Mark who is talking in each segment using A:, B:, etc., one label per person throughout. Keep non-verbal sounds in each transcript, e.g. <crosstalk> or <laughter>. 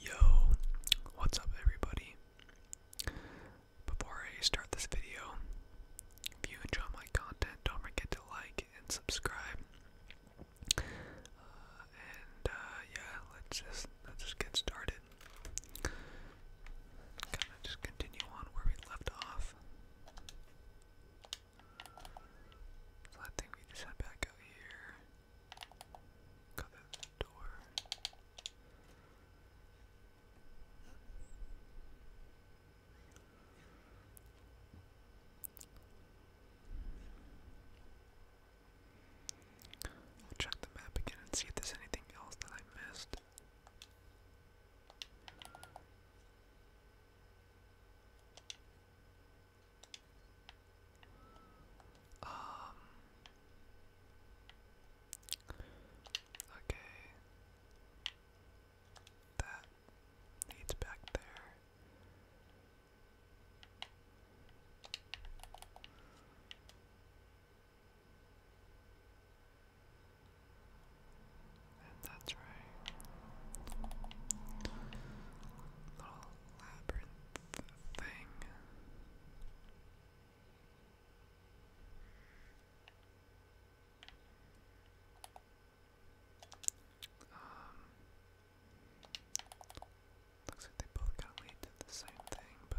A: Yo, what's up, everybody? Before I start this video, if you enjoy my content, don't forget to like and subscribe. Uh, and uh, yeah, let's just let's just get started. Kind of just continue on where we left off. So I think we just head back out here. Cut that door. check the map again and see if there's anything else that I missed. Um. Okay. That needs back there. And that's right. Little labyrinth thing. Um, looks like they both kind of to the same thing, but.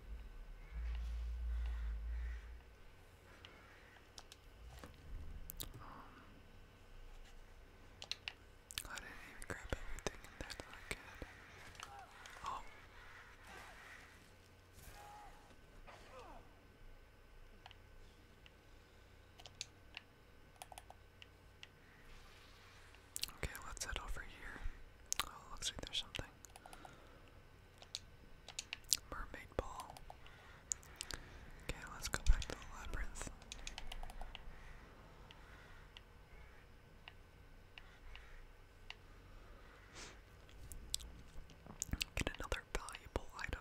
A: I didn't even grab everything in there that I could. Oh. Okay, let's head over here. Oh, looks like there's something. Mermaid ball. Okay, let's go back to the labyrinth. Get another valuable item.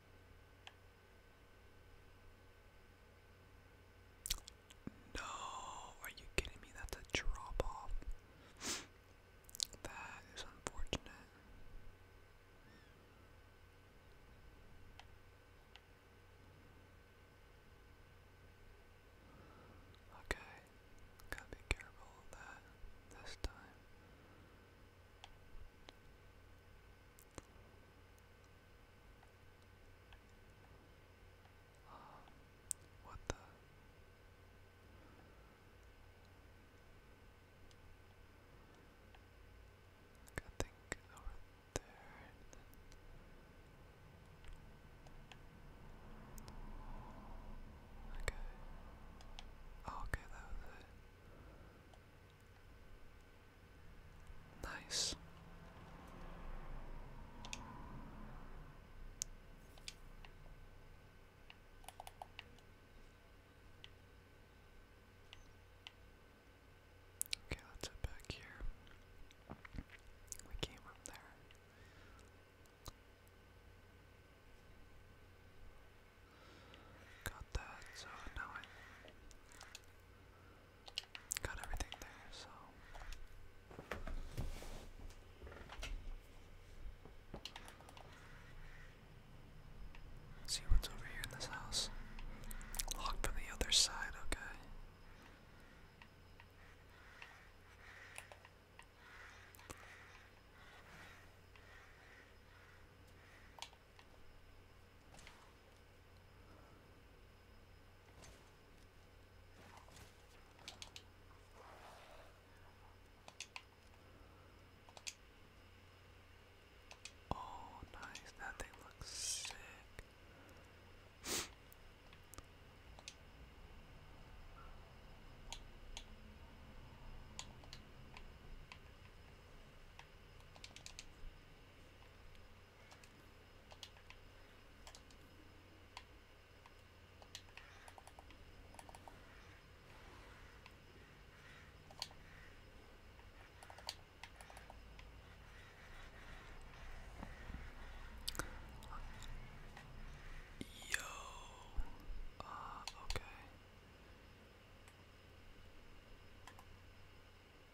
A: No, are you kidding me? That's a drop off. that is unfortunate. Okay, gotta be careful of that this time. Um, what the? Like I think over there. Okay. Oh, okay, that was it. Nice. Okay, let's head back here. We came up there. Got that, so now I got everything there, so. see what's over here in this house. Locked from the other side, okay. Oh, nice. That thing looks sick. Yo, uh, okay.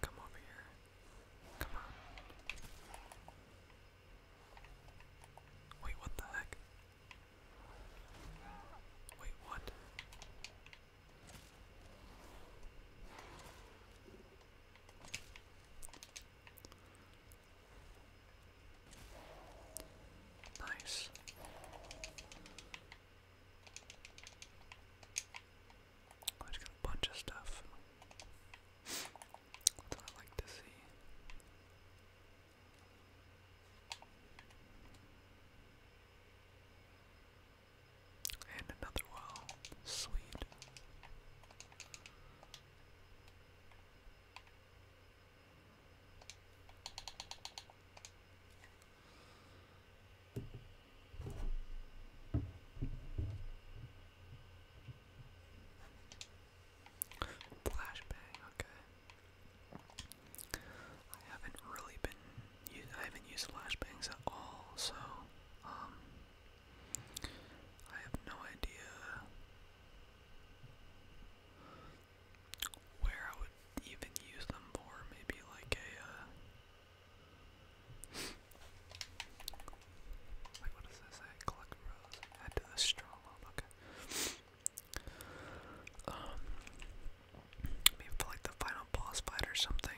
A: Come over here. Come on. Wait, what the heck? Wait, what? Nice. I just got a bunch of stuff. That's I like to see. And another well. Sweet. Flashbang, okay. I haven't really been I haven't used flashbangs at all, so um, I have no idea where I would even use them for, maybe like a, uh, <laughs> like what does this say, collect rose, add to straw lobe, okay, um, maybe for like the final boss fight or something.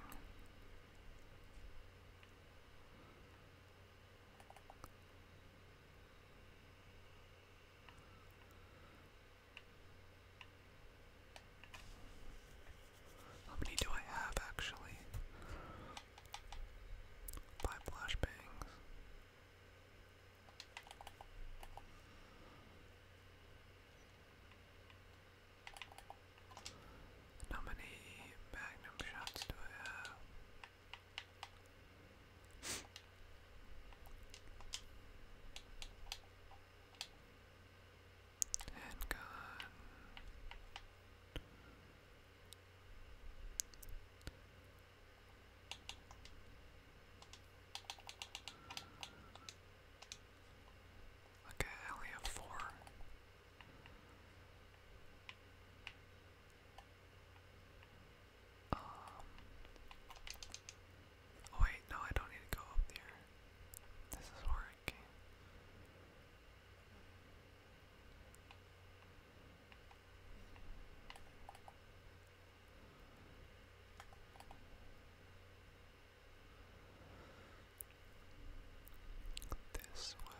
A: How many do I have actually? Five flashbangs. how many magnum shots do I have? Handgun. Okay, I only have four. Um, oh wait, no, I don't need to go up there. This is where This way.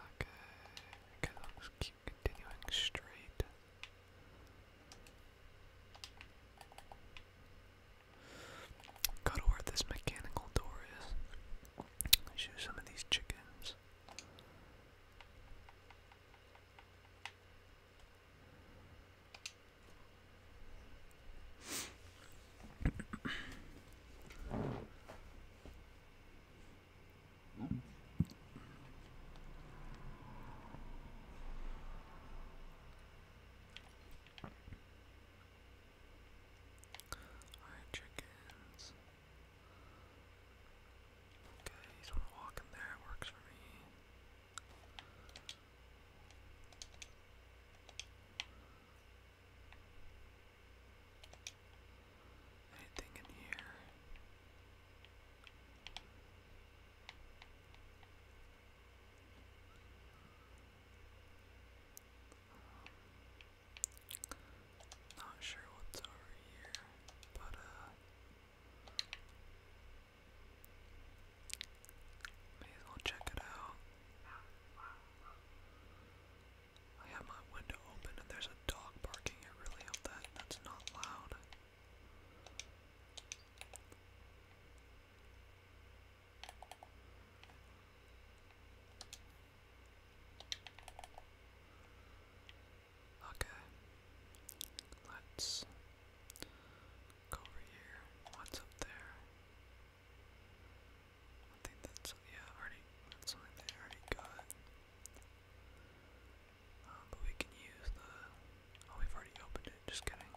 A: Okay, okay, let's keep continuing straight. Go to where this mechanical door is. shoot some of these chickens. Alright, chickens. Okay, just walk in there, it works for me. Anything in here? Not sure what's over here, but uh May as well check it out. I have my window open and there's a dog barking. I really hope that that's not loud. Okay. Let's go over here. What's up there? I think that's yeah, already that's something they already got. Um, but we can use the oh we've already opened it, just kidding.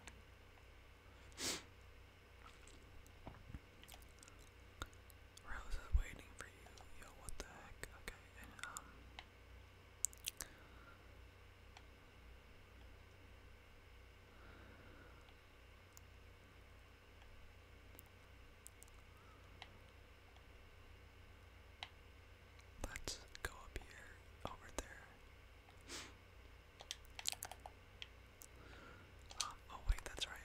A: Rose is waiting for you. Yo, what the heck? Okay, um, Let's go up here, over there. Um, oh wait, that's right.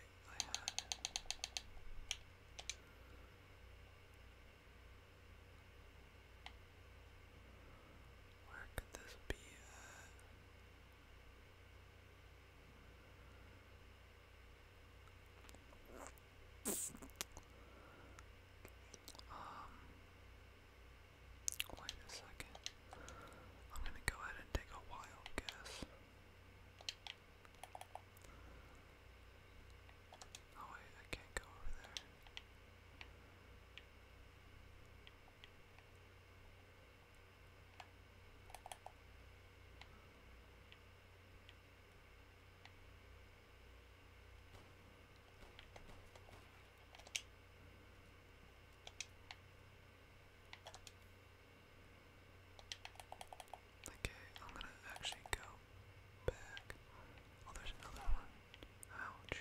A: Where could this be Um, wait a second. I'm gonna go ahead and take a wild guess. Oh wait, I can't go over there. Okay, I'm gonna actually go back. Oh, there's another one. Ouch.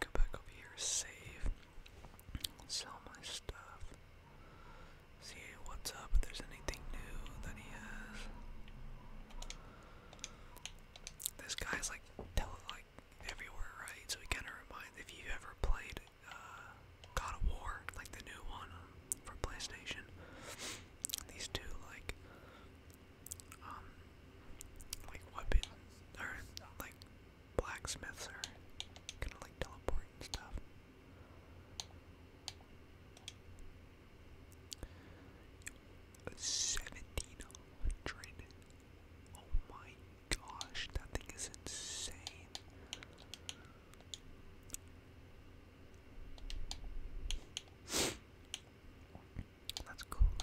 A: Go back over here, save, sell my stuff, see what's up, if there's anything new that he has. This guy's like tele like everywhere, right? So we kind of remind if you ever played uh, God of War, like the new one um, for PlayStation. These two like um like weapon or like blacksmiths are kind of like teleporting stuff. Seventeen hundred. Oh my gosh, that thing is insane. That's crazy.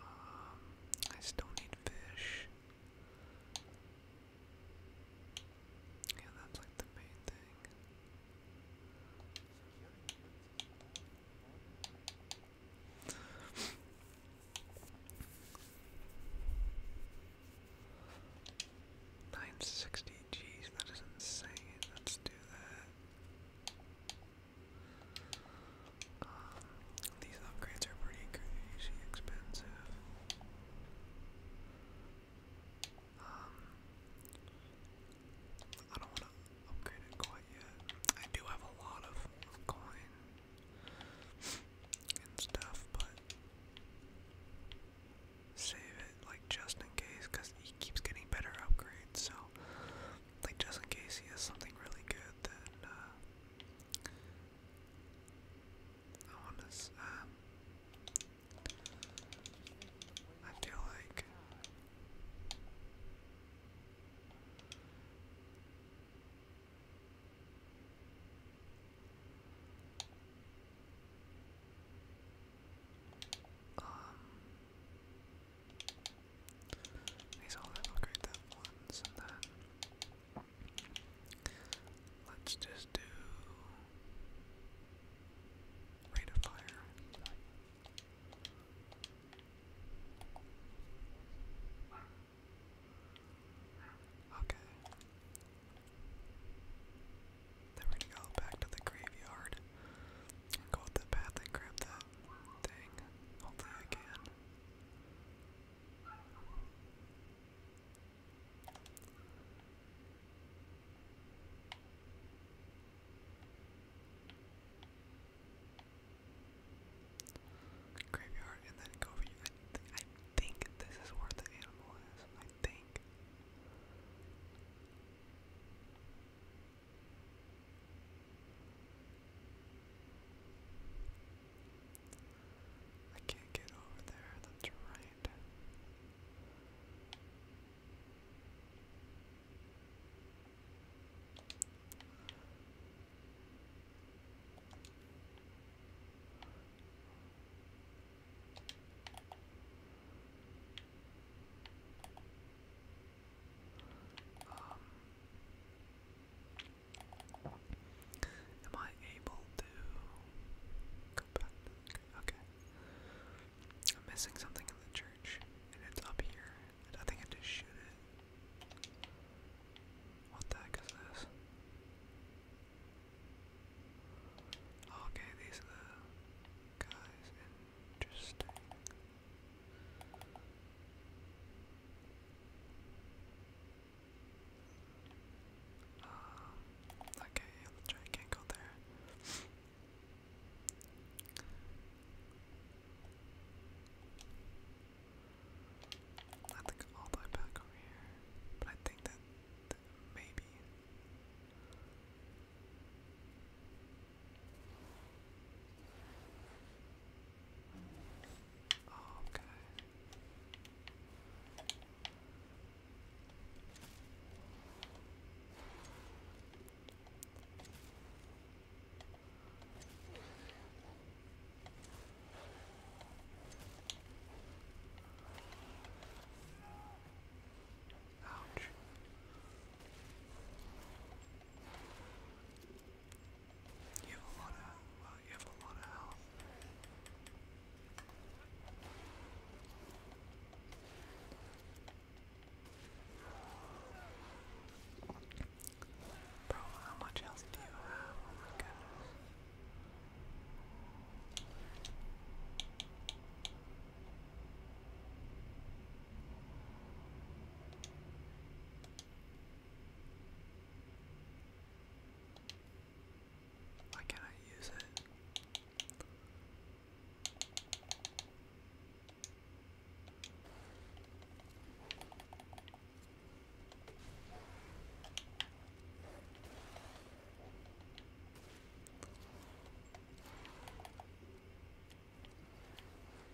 A: Um, I still need fish. Yeah, that's like the main thing. Nine sixty, jeez, that is insane. Let's do that these upgrades are pretty crazy expensive. Um, I don't want to upgrade it quite yet. I do have a lot of coin and stuff, but save it like just in case, cause he keeps getting better upgrades. So, like just in case he has something really good, then. Uh, I want to. I feel like um these all look that ones and then let's just do rate of fire. Okay. Then we go back to the graveyard go the path and grab that thing. Hopefully I can. Graveyard and then go for you. I think this is where the animal is. I think. I can't get over there, that's right. Um Am I able to Okay. I'm missing something in the church, and it's up here. I think I just shoot it. What the heck is this? Okay, these are guys. Interesting. Uh, okay, yeah, the giant can go there. I think all the way back over here, but I think that maybe okay. Oh, Ouch. You have a lot of well, you have a lot of health. Bro, how much health do you have? Oh my goodness. Why can't I use it?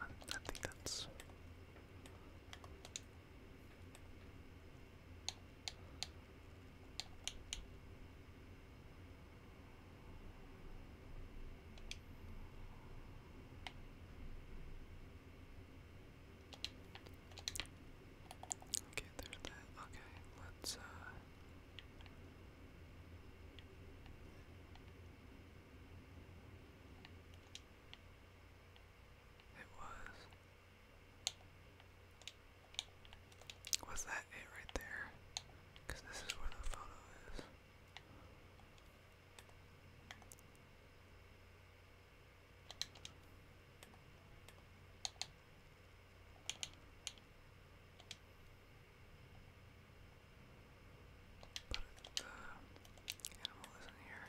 A: I, I think that's. Okay, there's that. Okay, let's uh it was. Was that it right there? Because this is where the photo is. But the animal isn't here.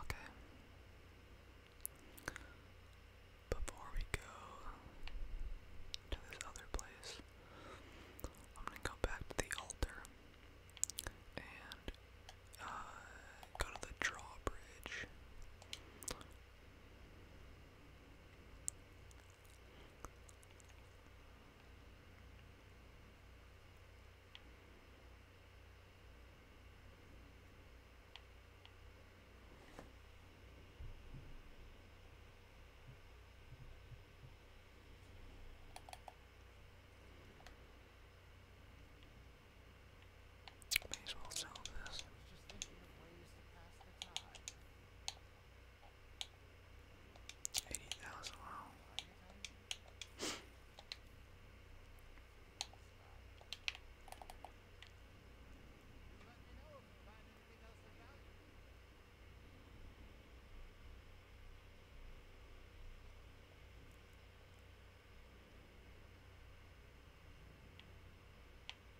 A: Okay. Before we go to this other place, I'm gonna go back to the altar and uh, go to the drawbridge. May as well sell this. I was just thinking of ways to pass the time. Eighty thousand. Wow.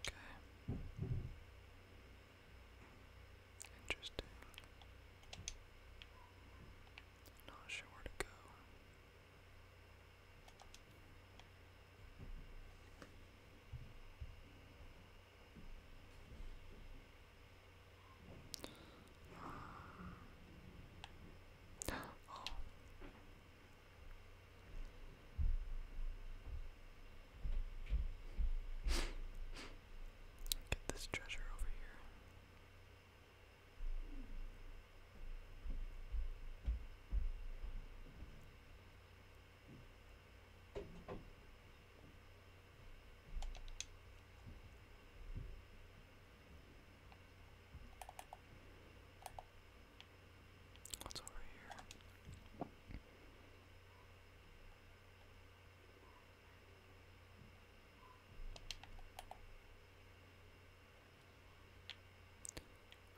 A: Okay. Interesting. Not sure where to go. Oh. Get this treasure over here. What's over here?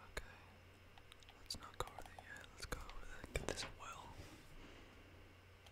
A: Okay, let's not go over there yet. Let's go over there. Get this well.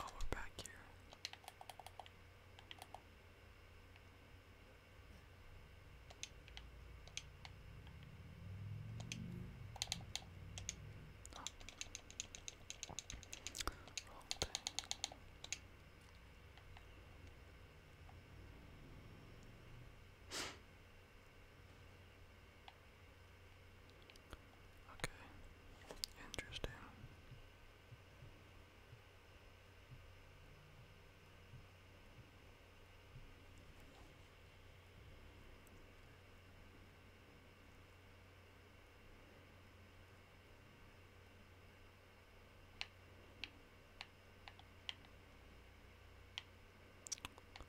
A: Oh, we're back here. Oh. Wrong Okay, interesting.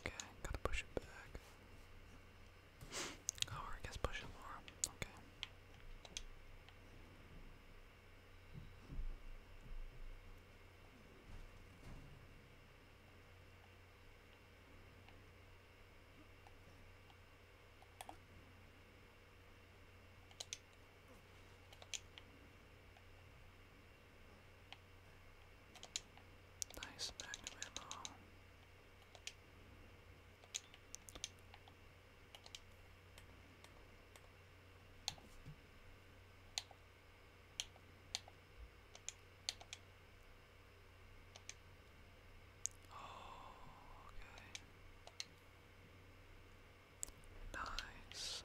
A: Okay, gotta push it back. Oh, I guess push it more. Okay. Nice magnum ammo. Oh, okay. Nice.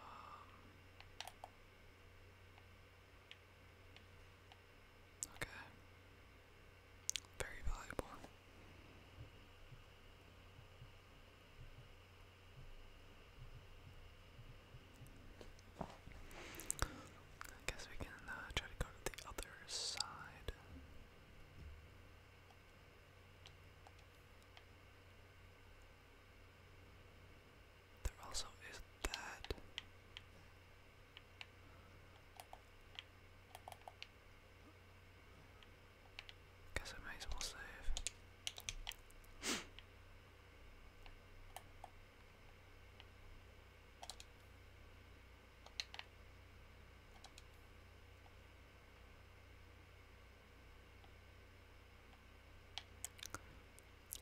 A: Um, okay. Very valuable. I guess we can uh, try to go to the other side. There also is that. Guess I may as well save.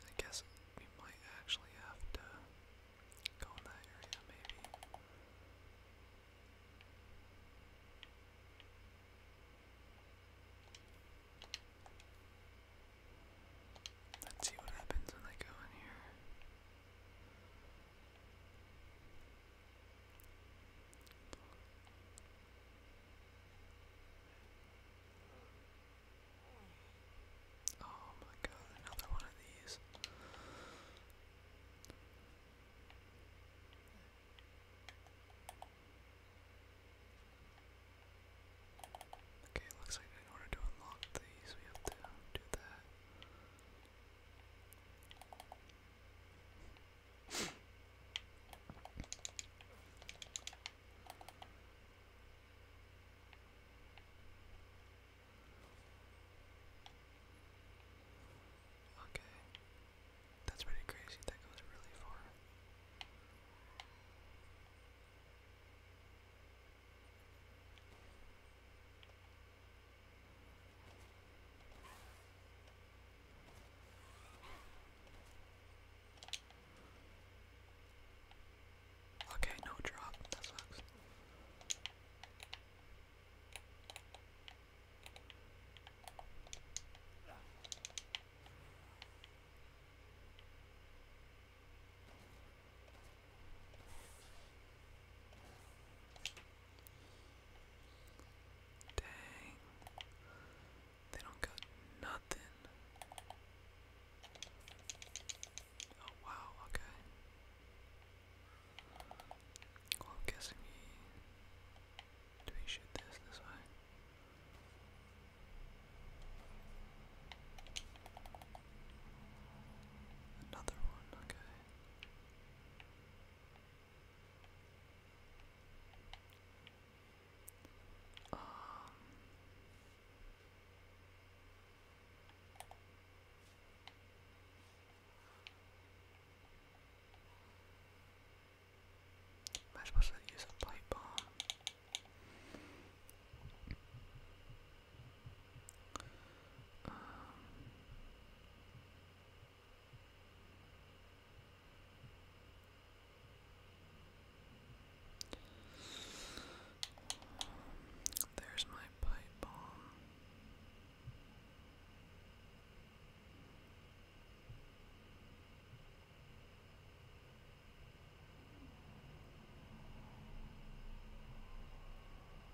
A: I guess we might actually have to go in that area, maybe. Let's see what happens when I go in here. Oh my god, another one of these. Okay, looks like in order to unlock these, we have to do that. Okay. That's pretty crazy. That goes really far. Okay, no drop. That sucks. Dang. They don't got nothing. Oh wow, okay. Well I'm guessing we do we shoot this this way? Another one, okay. Um, am I supposed to use a pipe bomb? Um, there's my pipe bomb.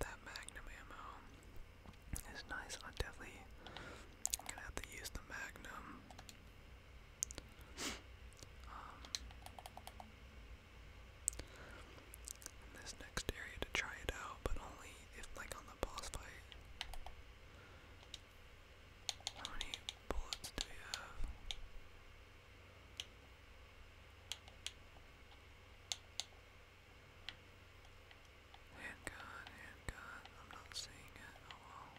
A: That magnum ammo is nice. I definitely gonna have to use the magnum. Um, in this next area to try it out, but only if like on the boss fight. How many bullets do we have? Handgun, handgun, I'm not seeing it, oh well.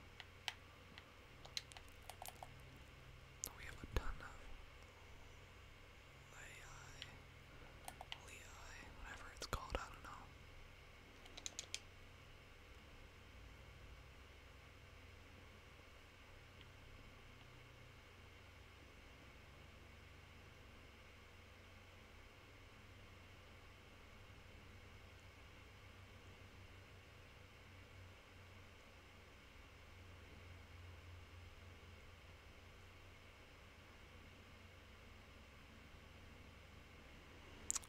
A: We have a ton of Lei, Lei, whatever it's called, I don't know.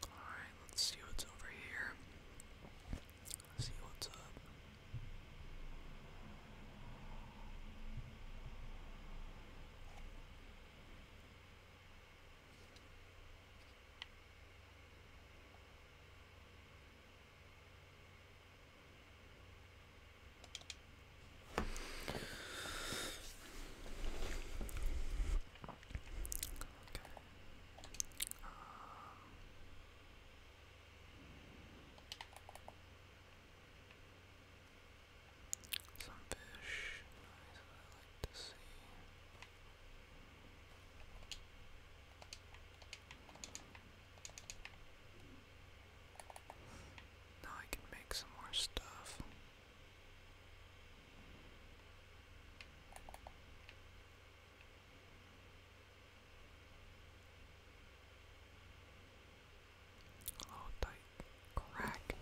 A: Alright, let's see what's over here. Let's see what's up. Some fish. Nice. I like to see. Now I can make some more stuff. Oh, tight crack.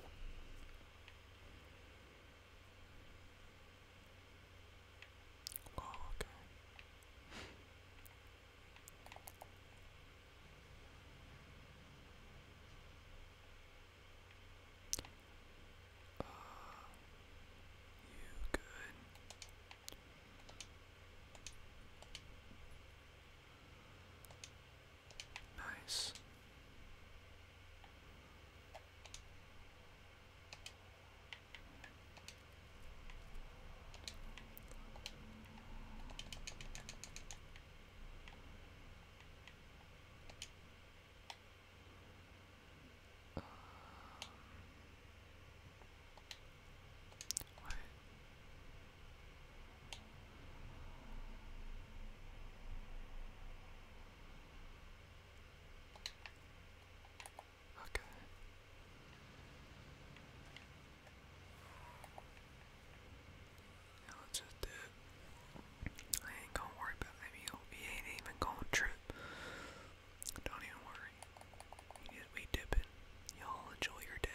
A: Oh, okay. Uh, you good? Nice. Um, what? Okay. Now that's just it. I ain't gonna worry about you meal. He ain't even gonna trip. Don't even worry. You just be dipping. Y'all enjoy your day.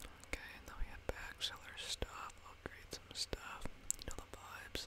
A: Okay, and then we have back seller stuff, upgrade some stuff, you know the vibes.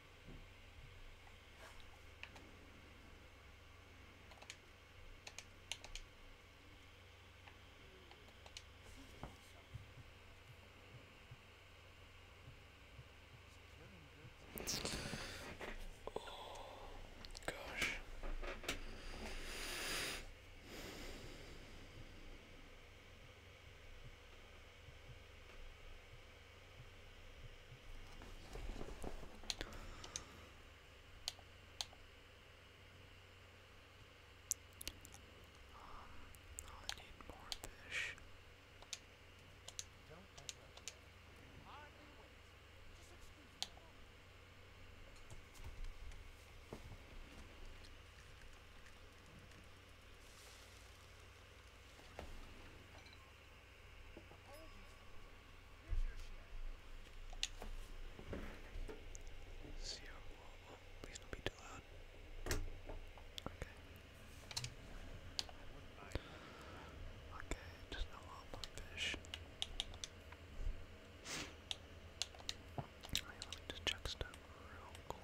A: Oh, gosh. Um, oh, I need more fish. See how oh, oh, please don't be too loud. Okay. Okay, just no long fish. Alright, let me just check stuff real quick.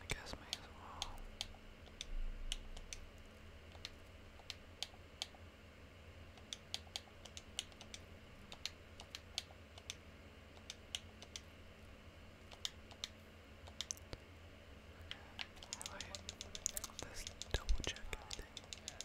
A: I guess may as well. Okay. Right. Let's double check everything. Okay.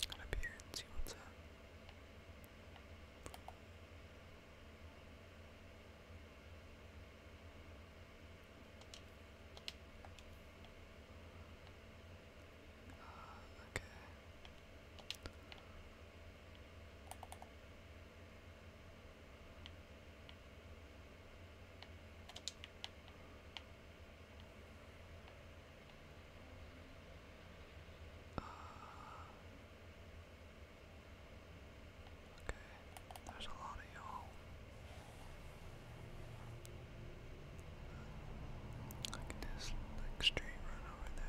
A: Come up see what's up. okay. Uh, okay, there's a lot of y'all. Look at this like run over there,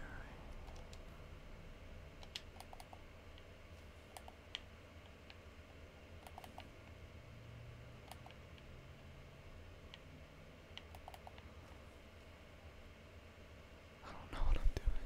A: I don't know what I'm doing.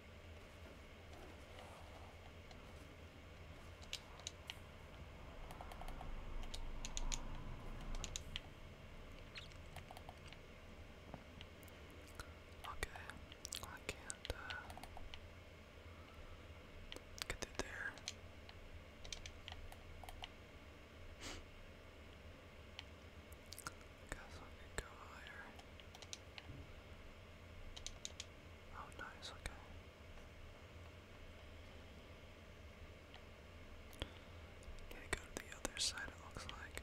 A: Okay, well, uh, get through there. Guess go higher. Oh, nice, okay. Need go to the other side, it looks like.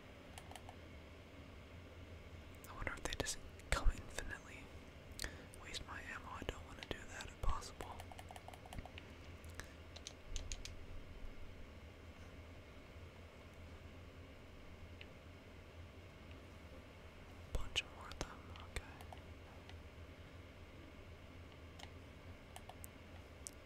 A: I wonder if they just come infinitely. Waste my ammo, I don't want to do that if possible. Bunch more of them, okay. Oh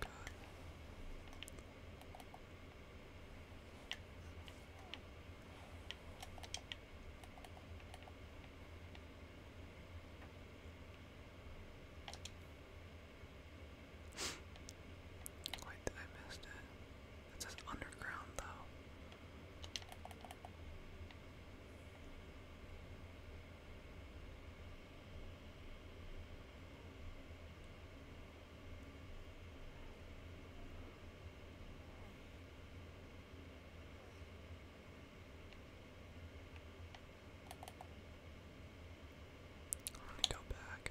A: God. I missed it. It says underground though. Let me go back.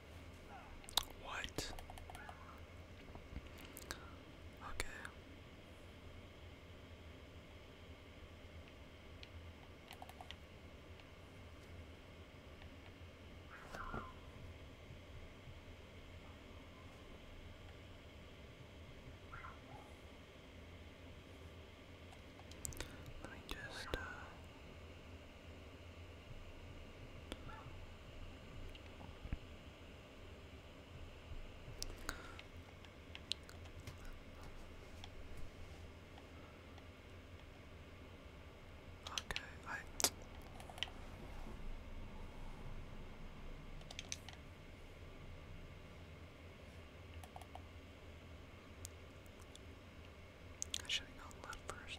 A: What? Okay. Let me just uh, Okay, I should have gone left first.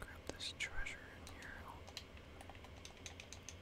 A: Grab this treasure in here.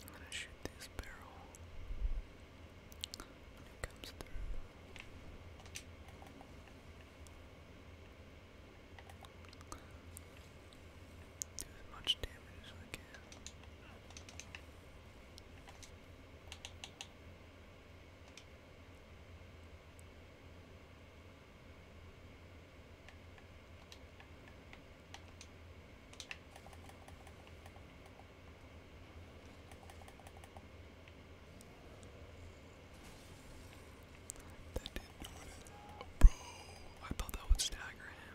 A: I'm gonna shoot this barrel it comes through. Do as much damage as I can. That did it. bro, I thought that would stagger him.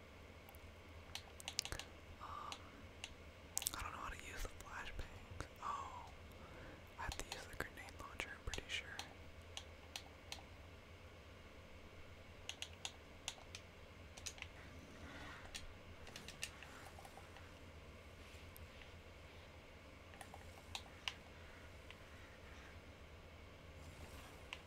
A: Um, I don't know how to use the flashbang. Oh, I have to use the grenade launcher, I'm pretty sure.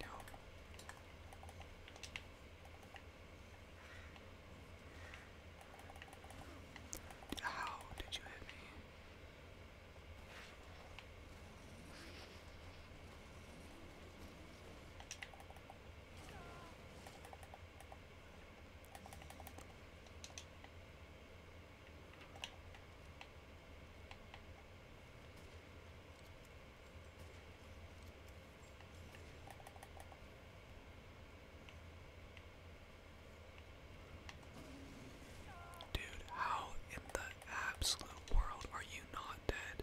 A: No. How did you hit me? Dude, how in the absolute world are you not dead?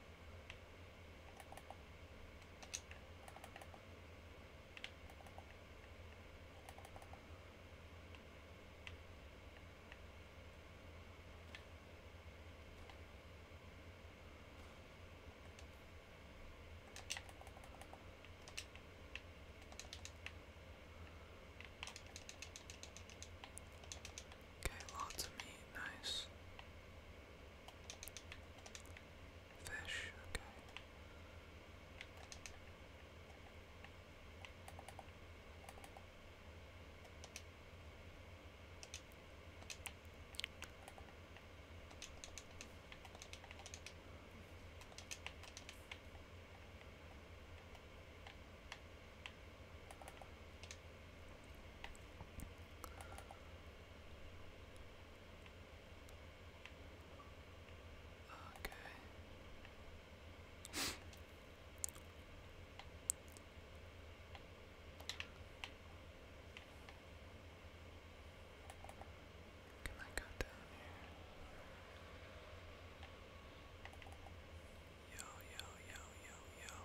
A: Okay, lots of meat, nice. Fish, okay. Okay. Can I go down here? Yo, yo, yo, yo, yo.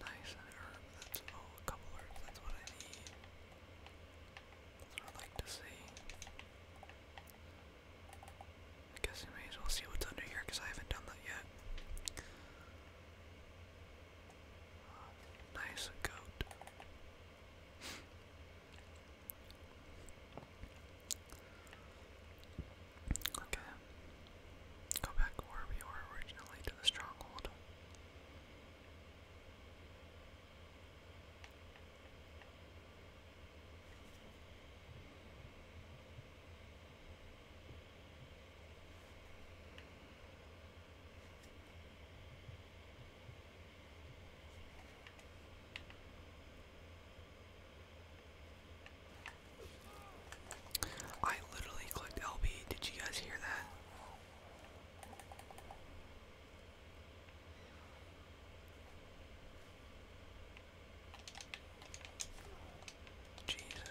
A: Nice, an herb, that's, oh, a couple herbs, that's what I need. That's what I like to see. I guess I may as well see what's under here because I haven't done that yet. Uh, nice goat. <laughs> okay. Go back where we were originally to the stronghold. I literally clicked LB. Did you guys hear that? Jesus.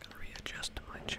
A: Gotta readjust my chair.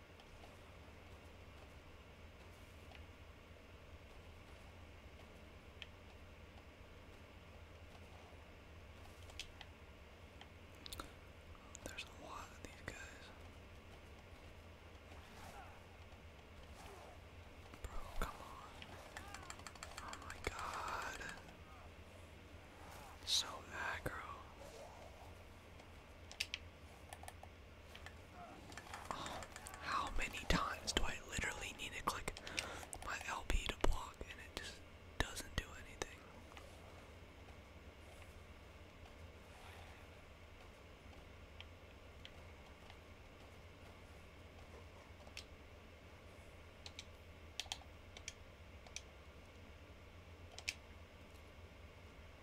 A: There's a lot of these guys. Bro, come on. Oh my god. So aggro. Oh, how many times do I literally need to click my LB to block and it just doesn't do anything?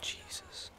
A: Jesus.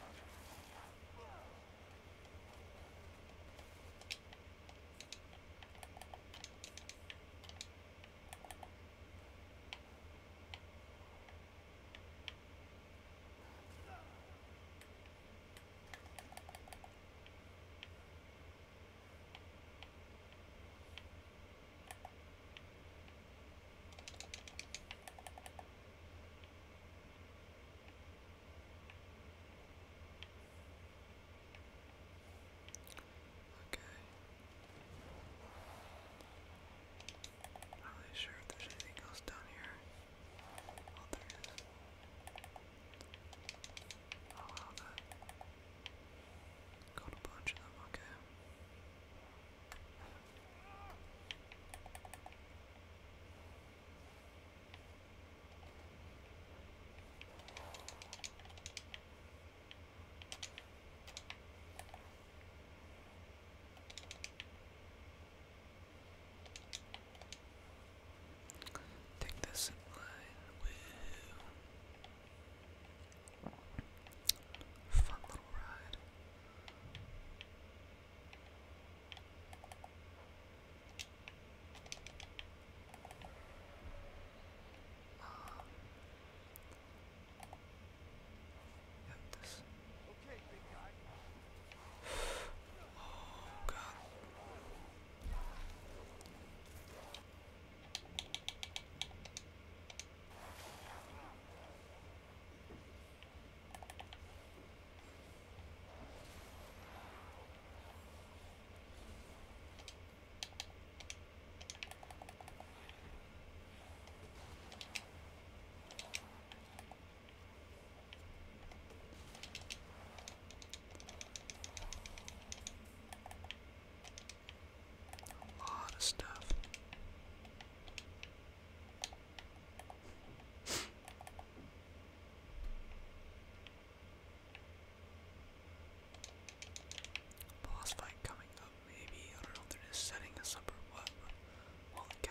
A: Not really sure if there's anything else down here. Oh, there Oh wow, that got a bunch of them, okay. Take this in Fun little ride. Um, yeah, this. <sighs> Okay, big guy. oh God. A lot of stuff. Boss fight coming up, maybe. I don't know if they're just setting us up or what. Holy cow.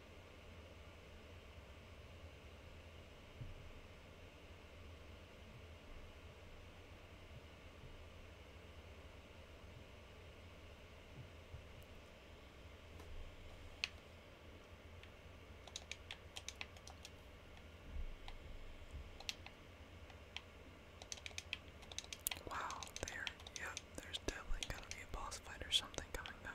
A: Wow, there, yep, there's definitely gonna be a boss fight or something coming up.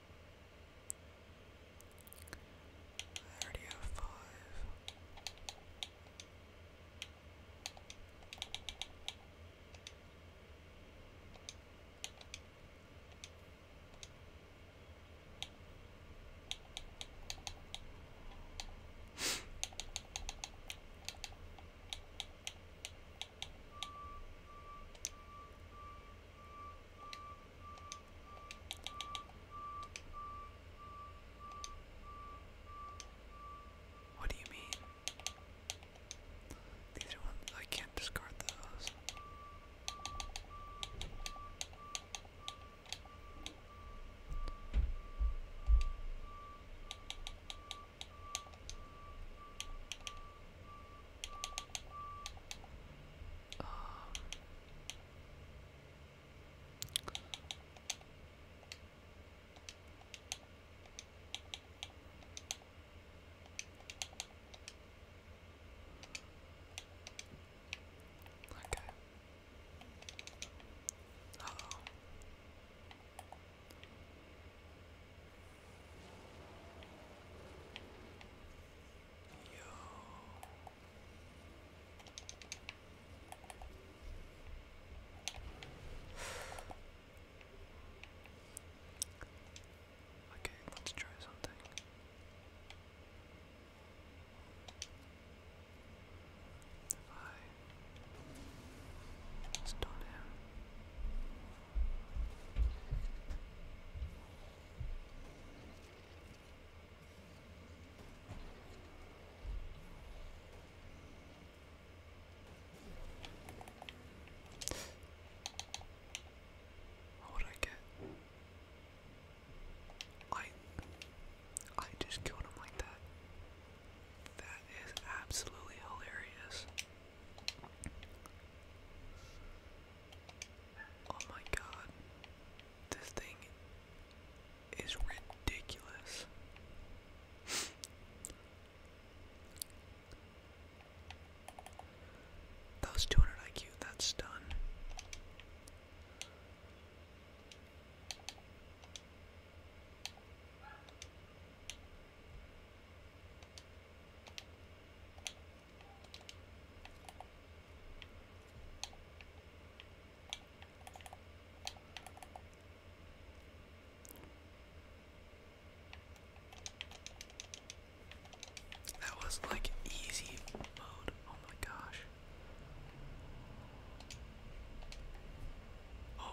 A: I already have five. What do you mean? These ones I can't discard those. Um, okay. Uh oh. Yo. okay, let's try something. If I stun him. What would I get? I I just killed him like that. That is absolutely hilarious. Oh my god. This thing is ridiculous. that 200 IQ, that's done. That was like easy mode. Oh my gosh. Oh.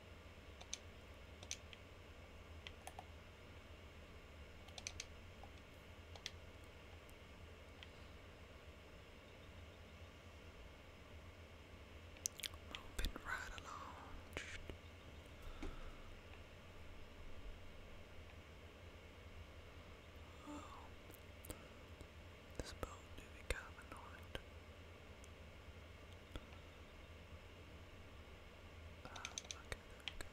A: Moving right along. this boat do be kind um, okay, there we go.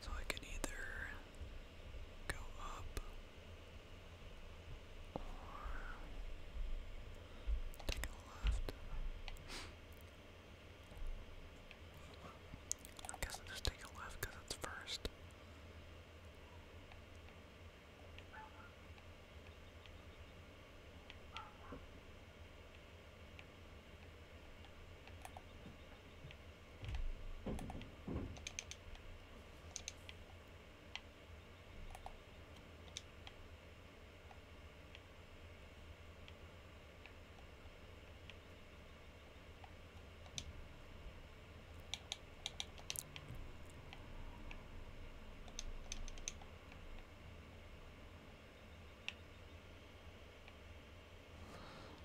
A: So I can either go up or take a left. I guess I'll just take a left because it's first.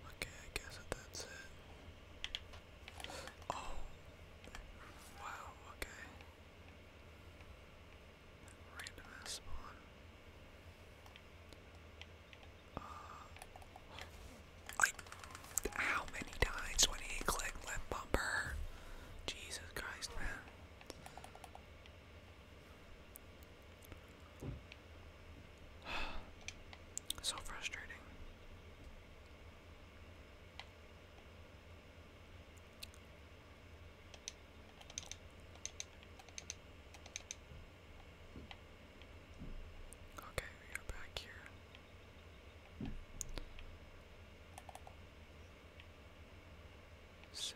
A: Okay, I guess that that's it. Oh, wow, okay. Random ass spawn. Uh, how many times when he clicked left bumper? Jesus Christ, man. <sighs> so frustrating. Okay, we are back here. Sick.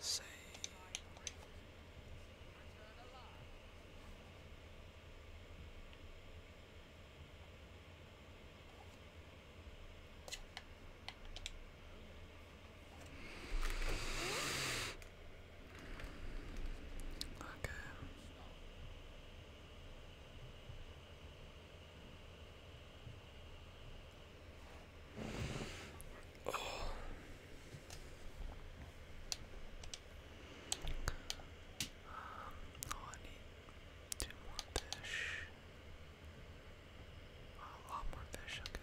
A: Say. Okay oh, I need two more fish. a lot more fish, okay.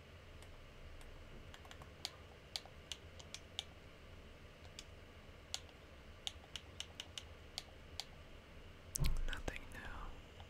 A: Nothing now. Okay.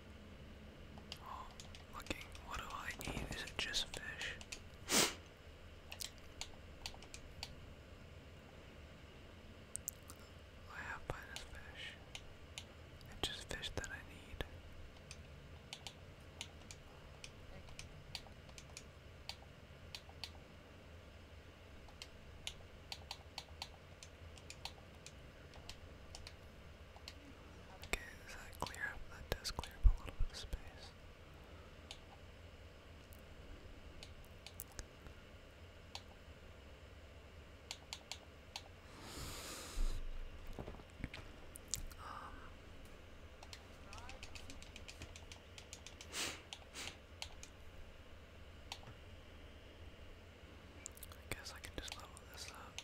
A: Oh, looking, what do I eat? Is it just fish? I have by fish. It's just fish that I need. Okay, does that clear up? That does clear up a little bit of space. Um, I guess I can just level this up.